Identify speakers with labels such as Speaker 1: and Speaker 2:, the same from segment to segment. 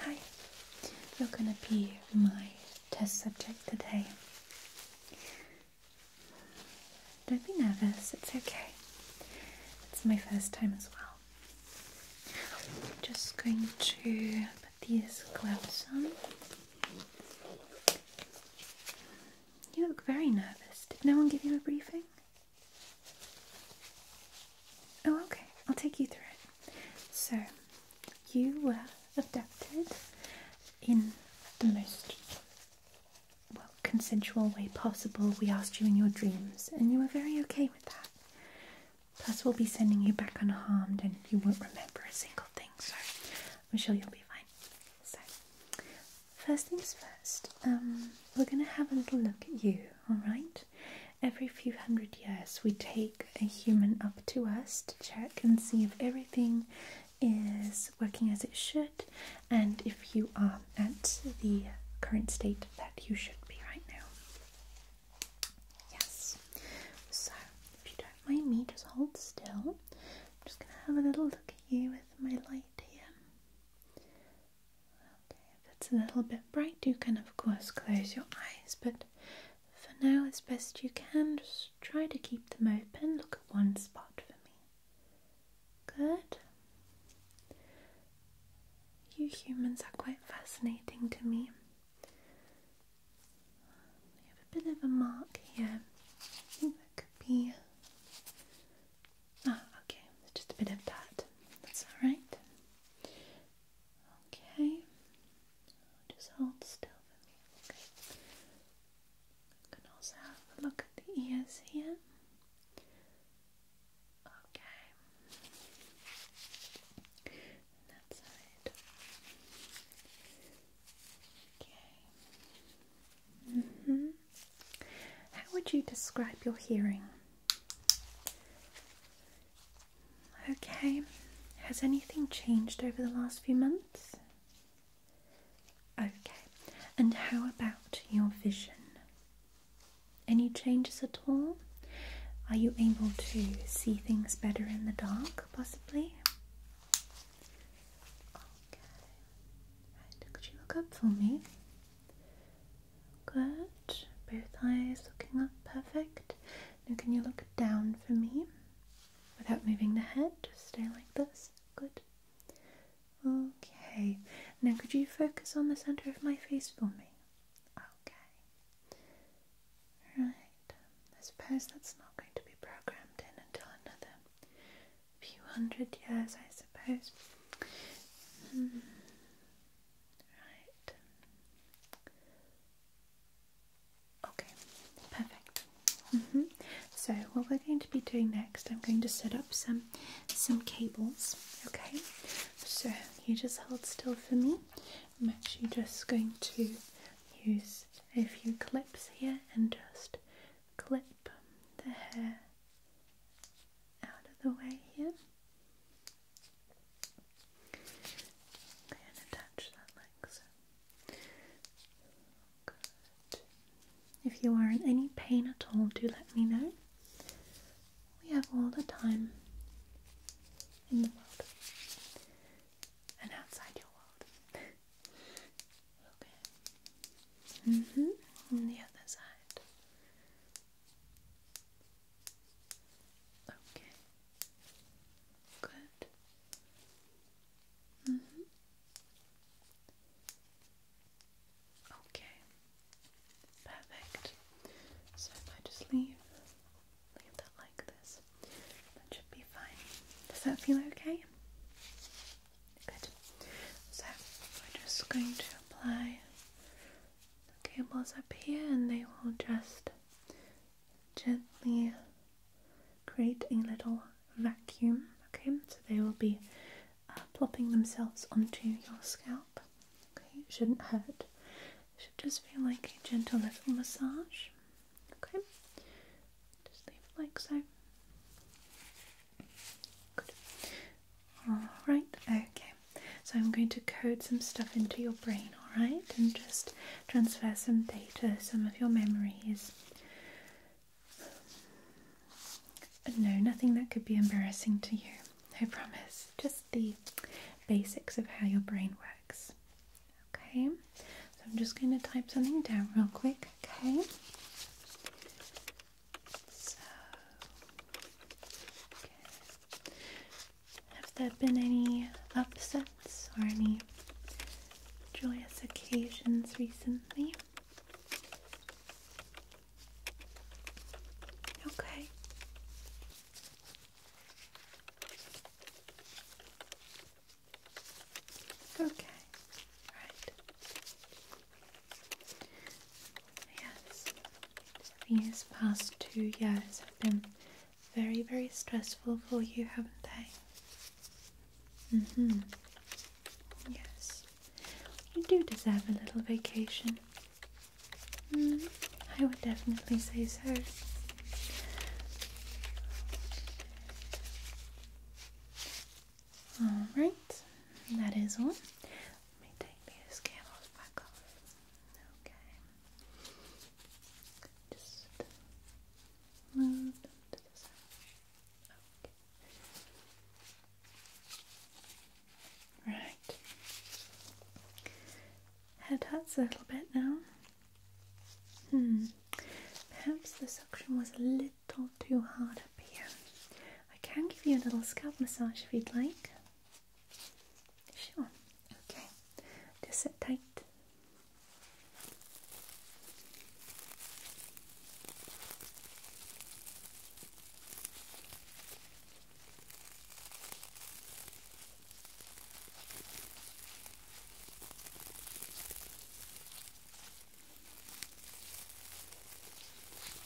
Speaker 1: Hi, you're gonna be my test subject today. Don't be nervous, it's okay. It's my first time as well. just going to put these gloves on. You look very nervous. Did no one give you a briefing? Oh, okay. I'll take you through it. So, you were abducted in the most well consensual way possible. We asked you in your dreams, and you were very okay with that. Plus, we'll be sending you back unharmed, and you won't remember a single thing. So, I'm sure you'll be fine. So, first things first. Um, we're going to have a little look at you, alright? Every few hundred years, we take a human up to us to check and see if everything is working as it should and if you are at the current state that you should be right now. Yes, so if you don't mind me, just hold still. I'm just going to have a little look at you with my light here. Okay, if it's a little bit bright, you can of course close your eyes, but for now, as best you can, just try to keep them open. Look at one spot for me. Good. You humans are quite fascinating to me. We have a bit of a mark here. I think that could be Ah, okay, just a bit of that. That's alright. Okay. Just hold still for me, okay? You can also have a look at the ears here. Okay. And that Okay. hmm How would you describe your hearing? Okay, has anything changed over the last few months? Okay, and how about your vision? Any changes at all? Are you able to see things better in the dark, possibly? Okay, could you look up for me? Good. Both eyes looking up. Perfect. Now, can you look down for me without moving the head? Just stay like this. Good. Okay. Now, could you focus on the center of my face for me? Okay. Right. I suppose that's not going to be programmed in until another few hundred years, I suppose. Mm. Right. Okay, perfect. Mm-hmm. So what we're going to be doing next, I'm going to set up some some cables. Okay. So you just hold still for me. I'm actually just going to use a few clips here and just clip the hair out of the way here and attach that like so. If you are in any pain at all, do let me know. We have all the time in the world and outside your world. okay. Mm-hmm. On the other side. Okay. Good. Mm -hmm. Okay. Perfect. So I just leave leave that like this, that should be fine. Does that feel okay? Good. So we're just going to apply the cables up here and they will just gently create a little vacuum. Okay, so they will be uh, plopping themselves onto your scalp. Okay, it shouldn't hurt. It should just feel like a gentle little massage. Okay, just leave like so. Alright, okay. So I'm going to code some stuff into your brain, alright? And just transfer some data, some of your memories. No, nothing that could be embarrassing to you, I promise. Just the basics of how your brain works. Okay, so I'm just going to type something down real quick, okay? Have there been any upsets or any joyous occasions recently? Okay. Okay. Right. Yes. These past two years have been very, very stressful for you, haven't they? Mm hmm. Yes. You do deserve a little vacation. Mm, I would definitely say so. Alright, that is all. Let me take these cables back off. Okay. Just move them to the side. Okay. Right. Head hurts a little bit now. Hmm. Perhaps the suction was a little too hard up here. I can give you a little scalp massage if you'd like. Sure. Okay. Just sit tight.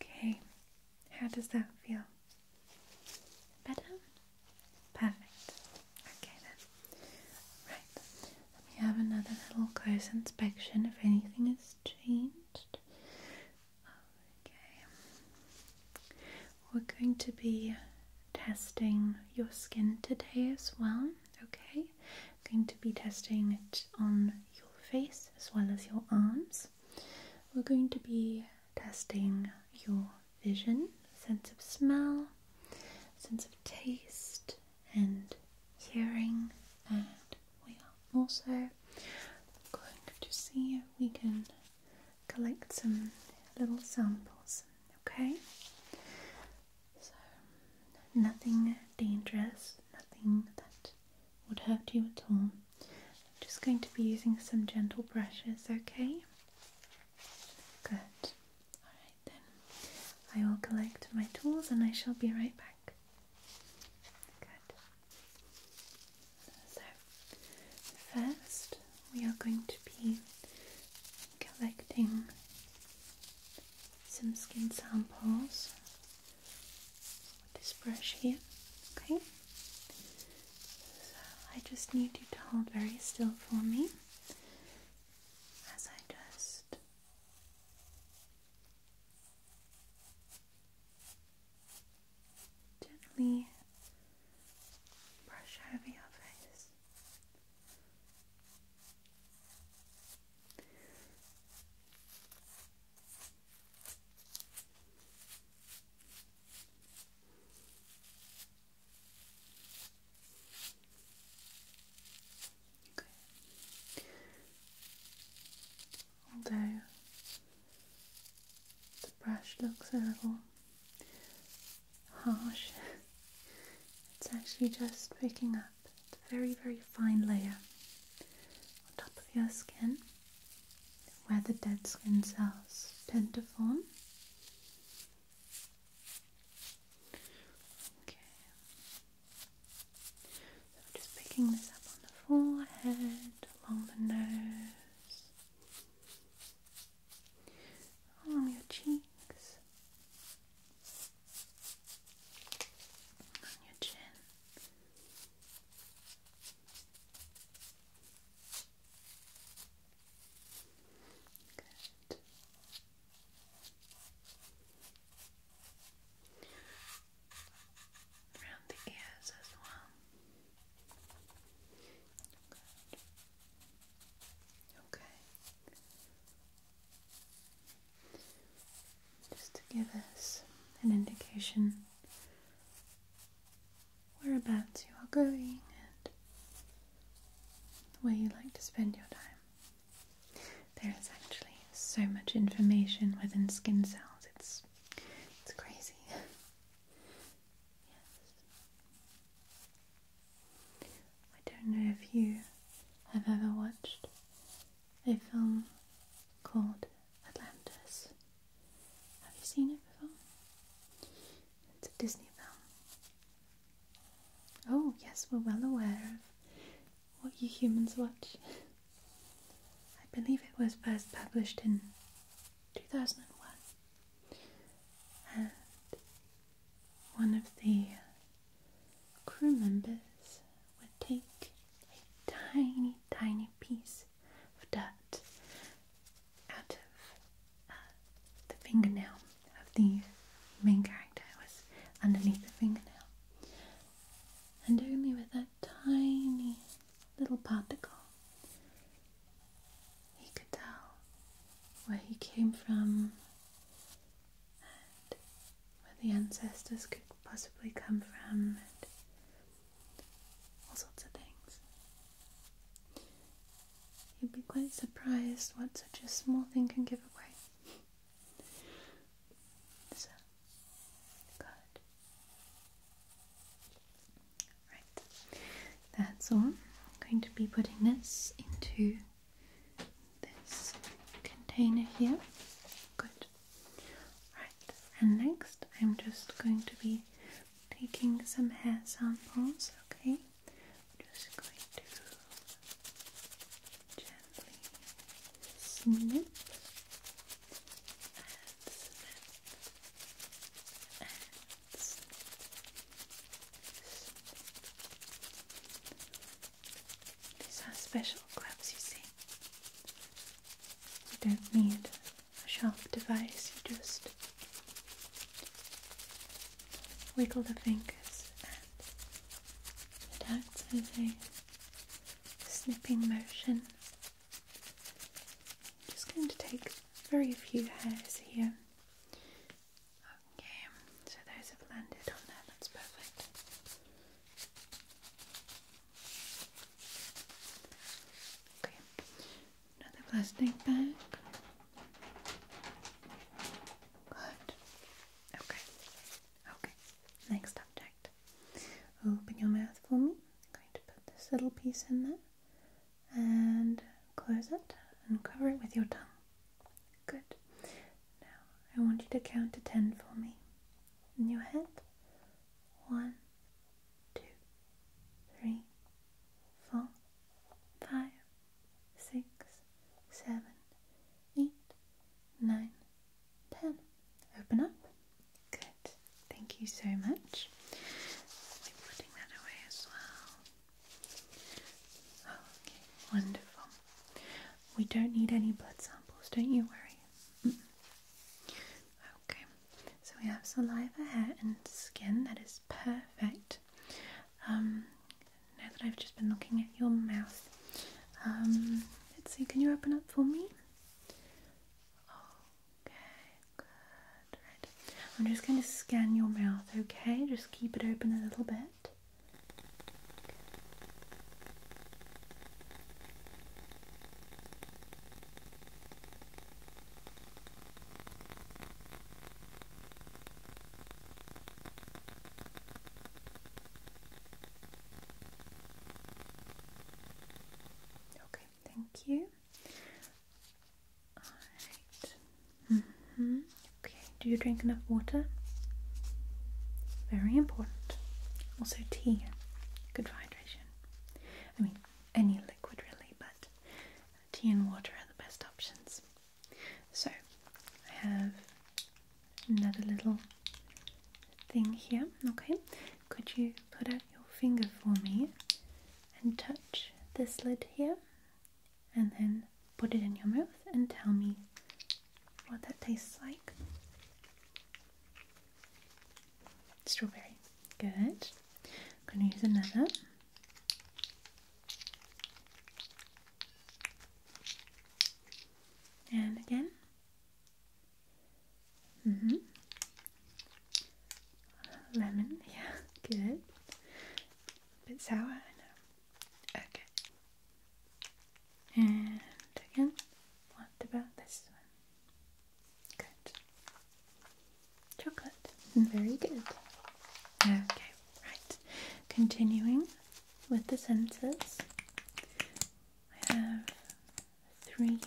Speaker 1: Okay, how does that feel? Better? Perfect. Okay then. Right, let me have another little close inspection if anything has changed. Okay. We're going to be testing your skin today as well. Okay. I'm going to be testing it on your face as well as your arms. We're going to be testing your vision, sense of smell, sense of taste, and hearing. And we are also going to see if we can collect some little samples, okay? So, nothing dangerous, nothing that would hurt you at all. I'm just going to be using some gentle brushes, okay? Good. Alright then, I will collect my tools and I shall be right back. Good. So, first we are going to be collecting some skin samples with this brush here, okay? So, I just need you to hold very still for me as I just Gently brush over your face. Okay although the brush looks a little harsh, it's actually just picking up a very, very fine layer on top of your skin where the dead skin cells tend to form. Okay, so just picking this up on the forehead, along the nose. On your cheeks, on your chin. Good around the ears as well. Okay. Just to give us an indication whereabouts you are going and where you like to spend your time. There is actually so much information within skin cells. It's it's crazy. Yes. I don't know if you have ever watched a film called Atlantis. Have you seen it before? It's a Disney film. Oh, yes, we're well aware of what you humans watch. I believe it was first published in 2001. And one of the crew members would take a tiny, tiny piece of dirt out of uh, the fingernail of the main character, was underneath the fingernail, and only with that tiny little particle, he could tell where he came from and where the ancestors could possibly come from, and all sorts of things. You'd be quite surprised what such a small thing can give away. so, good. Right, that's all. I'm going to be putting this into this container here. Good. Right, and next I'm just going to be taking some hair samples, okay? just going to gently snip these are special gloves, you see. You don't need a sharp device, you just wiggle the fingers and it acts as a snipping motion I'm just going to take very few hairs here. Okay, so those have landed on there, that's perfect. Okay, another plastic bag. Good. Okay, okay, next object. Open your mouth for me. going to put this little piece in there and close it and cover it with your tongue. Good. Now I want you to count to ten for me in your head. One, two, three, four, five, six, seven, eight, nine, ten. Open up. Good. Thank you so much. I'm putting that away as well. Oh, okay, wonderful. We don't need any blood samples, don't you worry. Okay, so we have saliva, hair, and skin. That is perfect. Um, now that I've just been looking at your mouth, um, let's see, can you open up for me? Oh, Okay, good. Right. I'm just going to scan your mouth, okay? Just keep it open a little bit. Okay, thank you. Alright. -hmm. Okay, do you drink enough water? Very important. Also, tea. Good hydration. I mean, any liquid really, but tea and water are the best options. So, I have another little thing here. Okay, could you put out your finger for me and touch this lid here and then put it in your mouth and tell me what that tastes like. Strawberry. Good. I'm going to use another. And again. Mm -hmm. Lemon, yeah, good. A bit sour, I know. Okay. And again, what about this one? Good. Chocolate. Very good. Okay, right. Continuing with the senses. I have three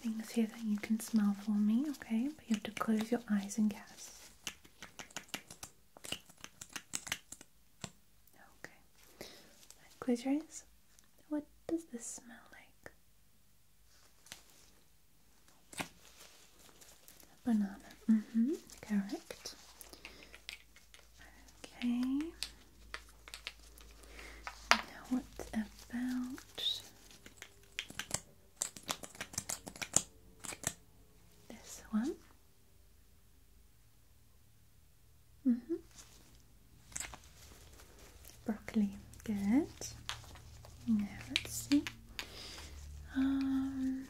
Speaker 1: things here that you can smell for me, okay? But you have to close your eyes and guess. Okay. Close your eyes. What does this smell like? banana. Mm-hmm. Correct. Okay. Now, what about this one? -hmm. Broccoli, good. Now let's see. Um,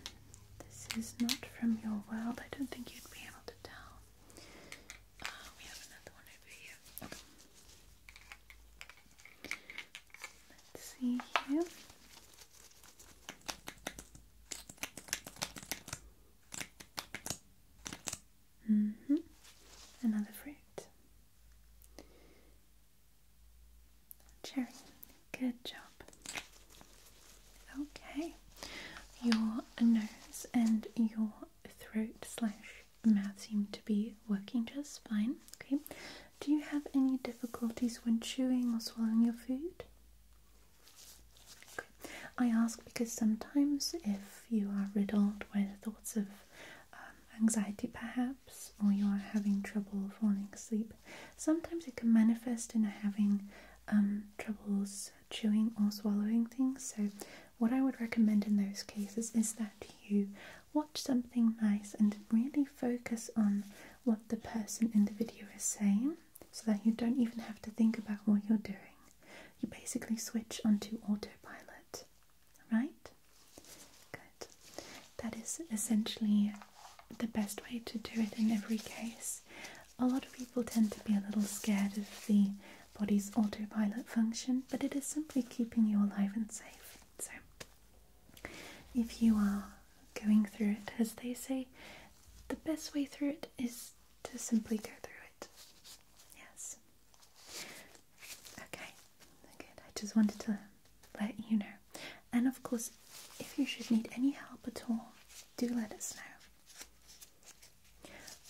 Speaker 1: this is not from your world. I don't think you'd be able to tell. Uh, we have another one over here. Let's see here. -hmm. Another fruit. Cherry. Good job. Okay. Your nose and your throat slash mouth seem to be working just fine. Okay. Do you have any difficulties when chewing or swallowing your food? I ask because sometimes if you are riddled with thoughts of um, anxiety perhaps or you are having trouble falling asleep, sometimes it can manifest in having um, troubles chewing or swallowing things. So what I would recommend in those cases is that you watch something nice and really focus on what the person in the video is saying so that you don't even have to think about what you're doing. You basically switch onto autopilot, right? Good. That is essentially the best way to do it in every case. A lot of people tend to be a little scared of the body's autopilot function, but it is simply keeping you alive and safe. So, if you are going through it, as they say, the best way through it is to simply go through it. Yes. Okay, good. I just wanted to let you know. And of course, if you should need any help at all, do let us know.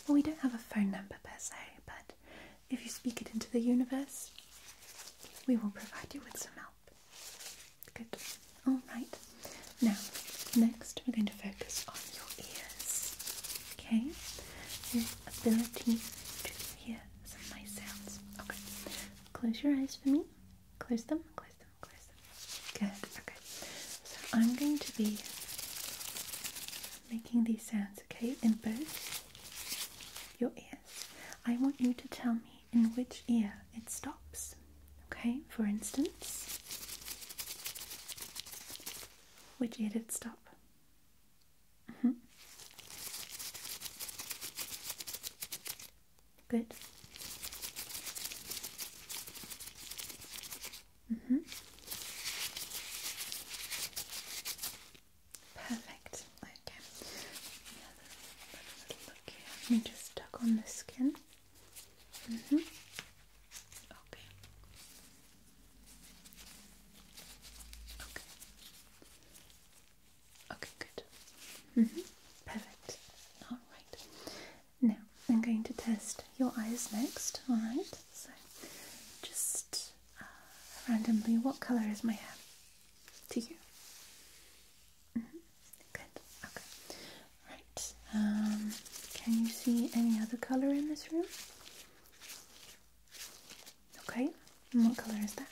Speaker 1: Well, we don't have a phone number per se, but if you speak it into the universe, we will provide you with some help. Good. All right. Now, next we're going to focus on your ears. Okay? Your ability to hear some nice sounds. Okay. Close your eyes for me. Close them, close them, close them. Good. Okay. So I'm going to be making these sounds, okay, in both your ears. I want you to tell me in which ear it stops, okay? For instance, which ear did it stop? Mm-hmm. Good. Mm -hmm. Perfect. Okay. Yeah, let look here. Let me just tuck on the skin. Mm-hmm. Okay. Okay. Okay, good. Mm-hmm. Perfect. Alright. Now I'm going to test your eyes next, alright? So just randomly, what color is my hair to you? Mm-hmm. Good. Okay. Right. Um, can you see any other color in this room? Okay. what color is that?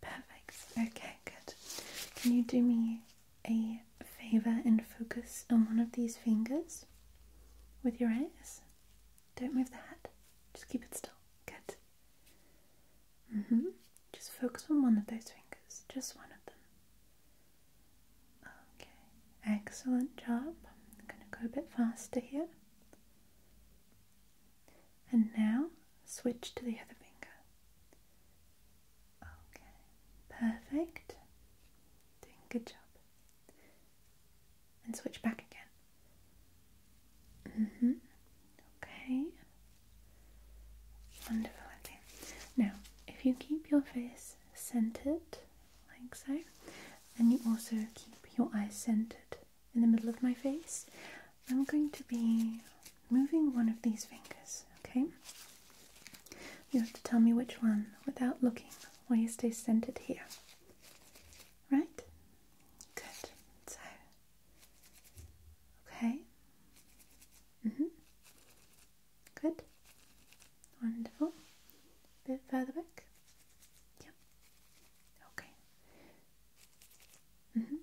Speaker 1: Perfect. Okay. Good. Can you do me a favor and focus on one of these fingers with your eyes? Don't move the head. Just keep it still. Good. Mm-hmm. Just focus on one of those fingers. Just one of them. Okay. Excellent job. I'm going to go a bit faster here. And now switch to the other finger. Okay. Perfect. good job and switch back again. Mm-hmm. Okay. Wonderful. Now, if you keep your face centered, like so, and you also keep your eyes centered in the middle of my face, I'm going to be moving one of these fingers, okay? You have to tell me which one without looking while you stay centered here. Right? Good. So, okay. Mhm. Mm Good. Wonderful. bit further back. Yep. Okay. Mhm. Mm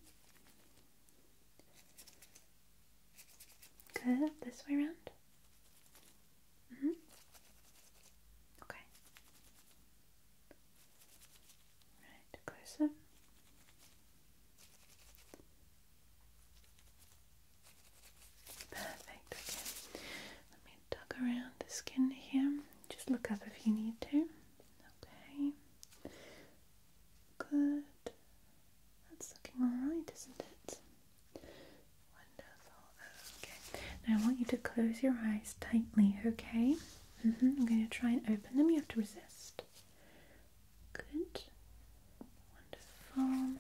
Speaker 1: Good. This way round. Mm -hmm. Okay. Right, closer. Perfect. Okay. Let me tug around the skin here. Just look up if you need to. Okay. Good. That's looking alright, isn't it? Wonderful. Okay. Now I want you to close your eyes tightly, okay? Mm-hmm. I'm going to try and open them. You have to resist. Good. Wonderful.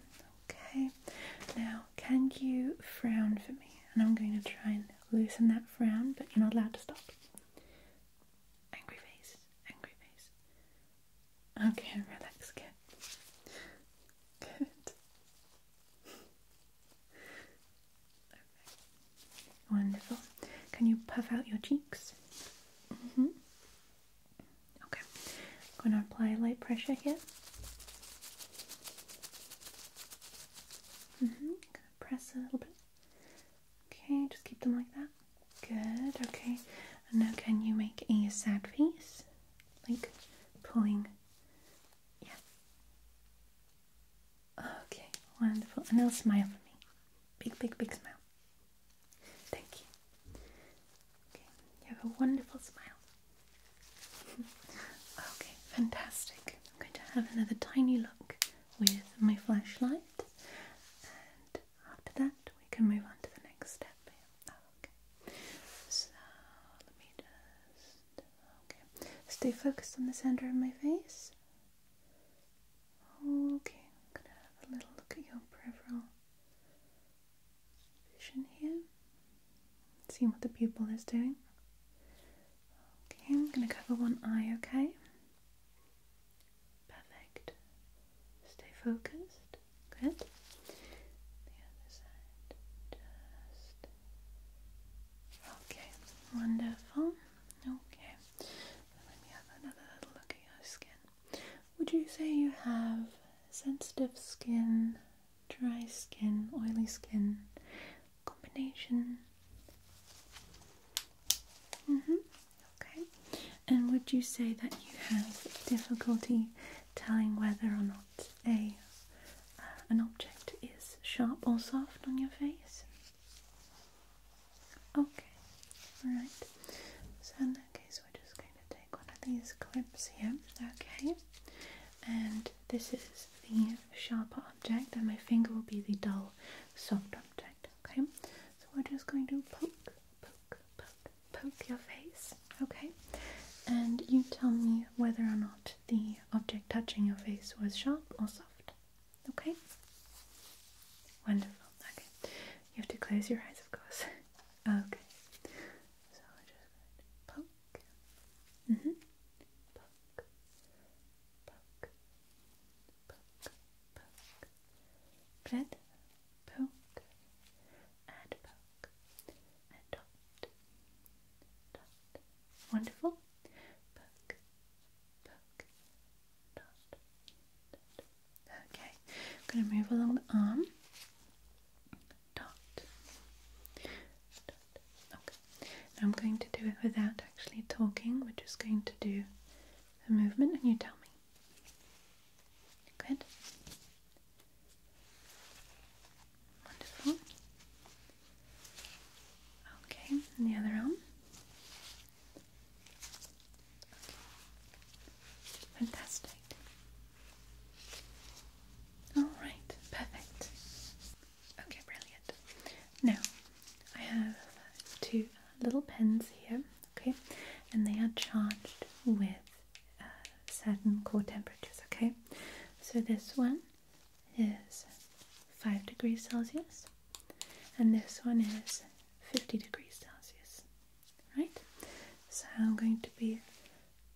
Speaker 1: Okay. Now, can you frown for me? And I'm going to try and loosen that frown, but you're not allowed to stop. Angry face. Angry face. Okay, relax. again. Good. Wonderful. Can you puff out your cheeks? Mm hmm Okay. I'm going to apply light pressure here. Mm hmm Press a little bit. Okay, just keep them like that. Good. Okay. And now can you make a sad face? Like pulling. Yeah. Okay, wonderful. And now smile for me. Big, big, big smile. Thank you. you have a wonderful smile. okay, fantastic. I'm going to have another tiny look with my flashlight, and after that, we can move on to the next step. okay. So, let me just. Okay. Stay focused on the center of my face. Okay, I'm gonna have a little look at your peripheral vision here. See what the pupil is doing. Okay, I'm gonna cover one eye, okay? Perfect. Stay focused. Good. The other side. Just Okay, wonderful. Okay, let me have another little look at your skin. Would you say you have sensitive skin, dry skin, oily skin, combination? hmm Okay. And would you say that you have difficulty telling whether or not a uh, an object is sharp or soft on your face? Okay, alright. So in that case we're just going to take one of these clips here, okay? And this is the sharper object and my finger will be the dull soft object, okay? So we're just going to poke, poke, poke, poke your face, okay? And you tell me whether or not the object touching your face was sharp or soft. Okay? Wonderful. Okay. You have to close your eyes, of course. okay. So I'm just going to poke. hmm. Poke. Poke. Poke. Poke. Good. Poke. And poke. And dot. Dot. Wonderful. Okay, I'm going to move along the arm. Okay, I'm going to do it without actually talking. We're just going to do a movement, and you tell me. Good. Wonderful. Okay, and the other arm. Fantastic. Alright, perfect. Okay, brilliant. Now, I have two little pens here, okay, and they are charged with uh, certain core temperatures, okay? So this one is 5 degrees Celsius and this one is 50 degrees Celsius. Right? So I'm going to be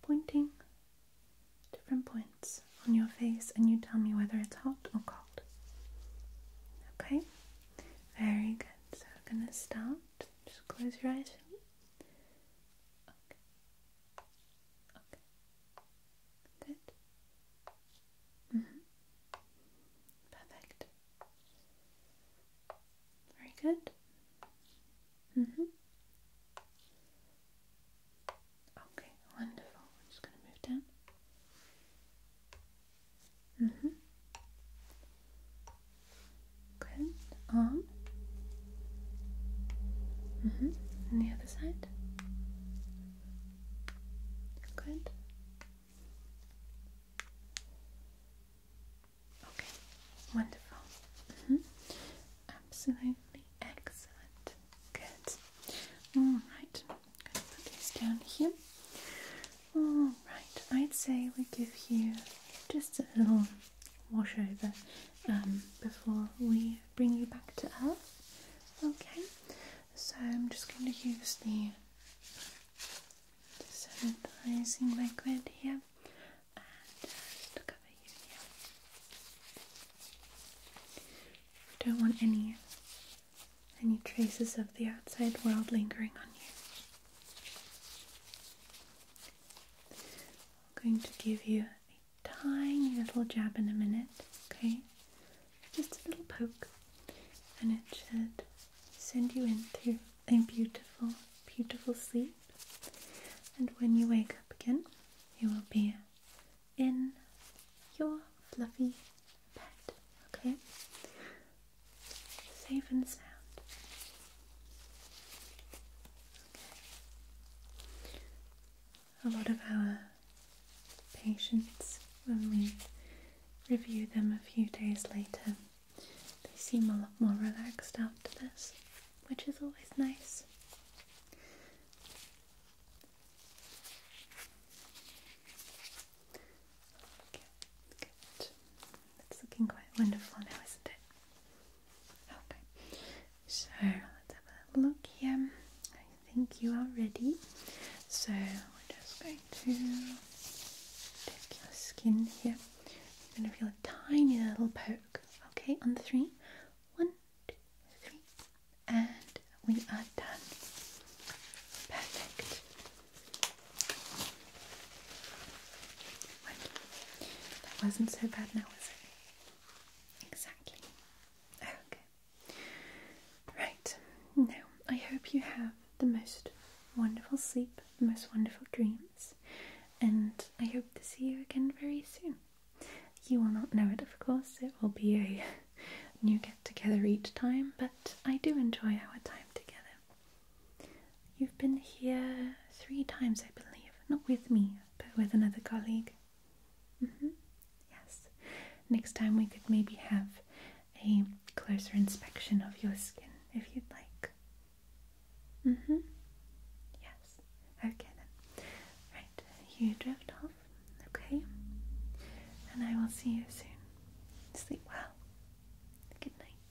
Speaker 1: pointing different points on your face and you tell me whether it's hot or cold. Okay? Very good. So we're gonna start. Just close your eyes. Okay. Good. Mm -hmm. Perfect. Very good. Mm -hmm. Okay, wonderful. I'm just going to move down. Mm -hmm. Good. Arm. Mm -hmm. And the other side. Good. Okay, wonderful. Mm-hmm. Absolutely excellent. Good. Alright, i down here. Alright, I'd say we give you just a little wash over um, before we bring you back to earth. Okay, so I'm just going to use the desanitizing liquid here and uh, don't want any any traces of the outside world lingering on you. going to give you tiny little jab in a minute, okay? Just a little poke, and it should send you into a beautiful, beautiful sleep. And when you wake up again, you will be in your fluffy bed, okay? Safe and sound a lot of our patients when we review them a few days later. They seem a lot more relaxed after this, which is always nice. It's looking quite wonderful now, isn't it? Okay, so let's have a look here. I think you are ready. So we're just going to take your skin here. You're going to feel a tiny little poke. Okay, on three, one, two, three, And we are done. Perfect. That wasn't so bad now, was it? Exactly. Okay. Right, now I hope you have the most wonderful sleep, the most wonderful dreams, and I hope to see you again very soon. You will not know it, of course, it will be a new get together each time, but I do enjoy our time together. You've been here three times, I believe, not with me, but with another colleague. Mm -hmm. Yes. Next time we could maybe have a closer inspection of your skin if you'd like. Mm hmm. Yes. Okay Right. You drift off. Okay. And I will see you soon. Sleep well. Good night.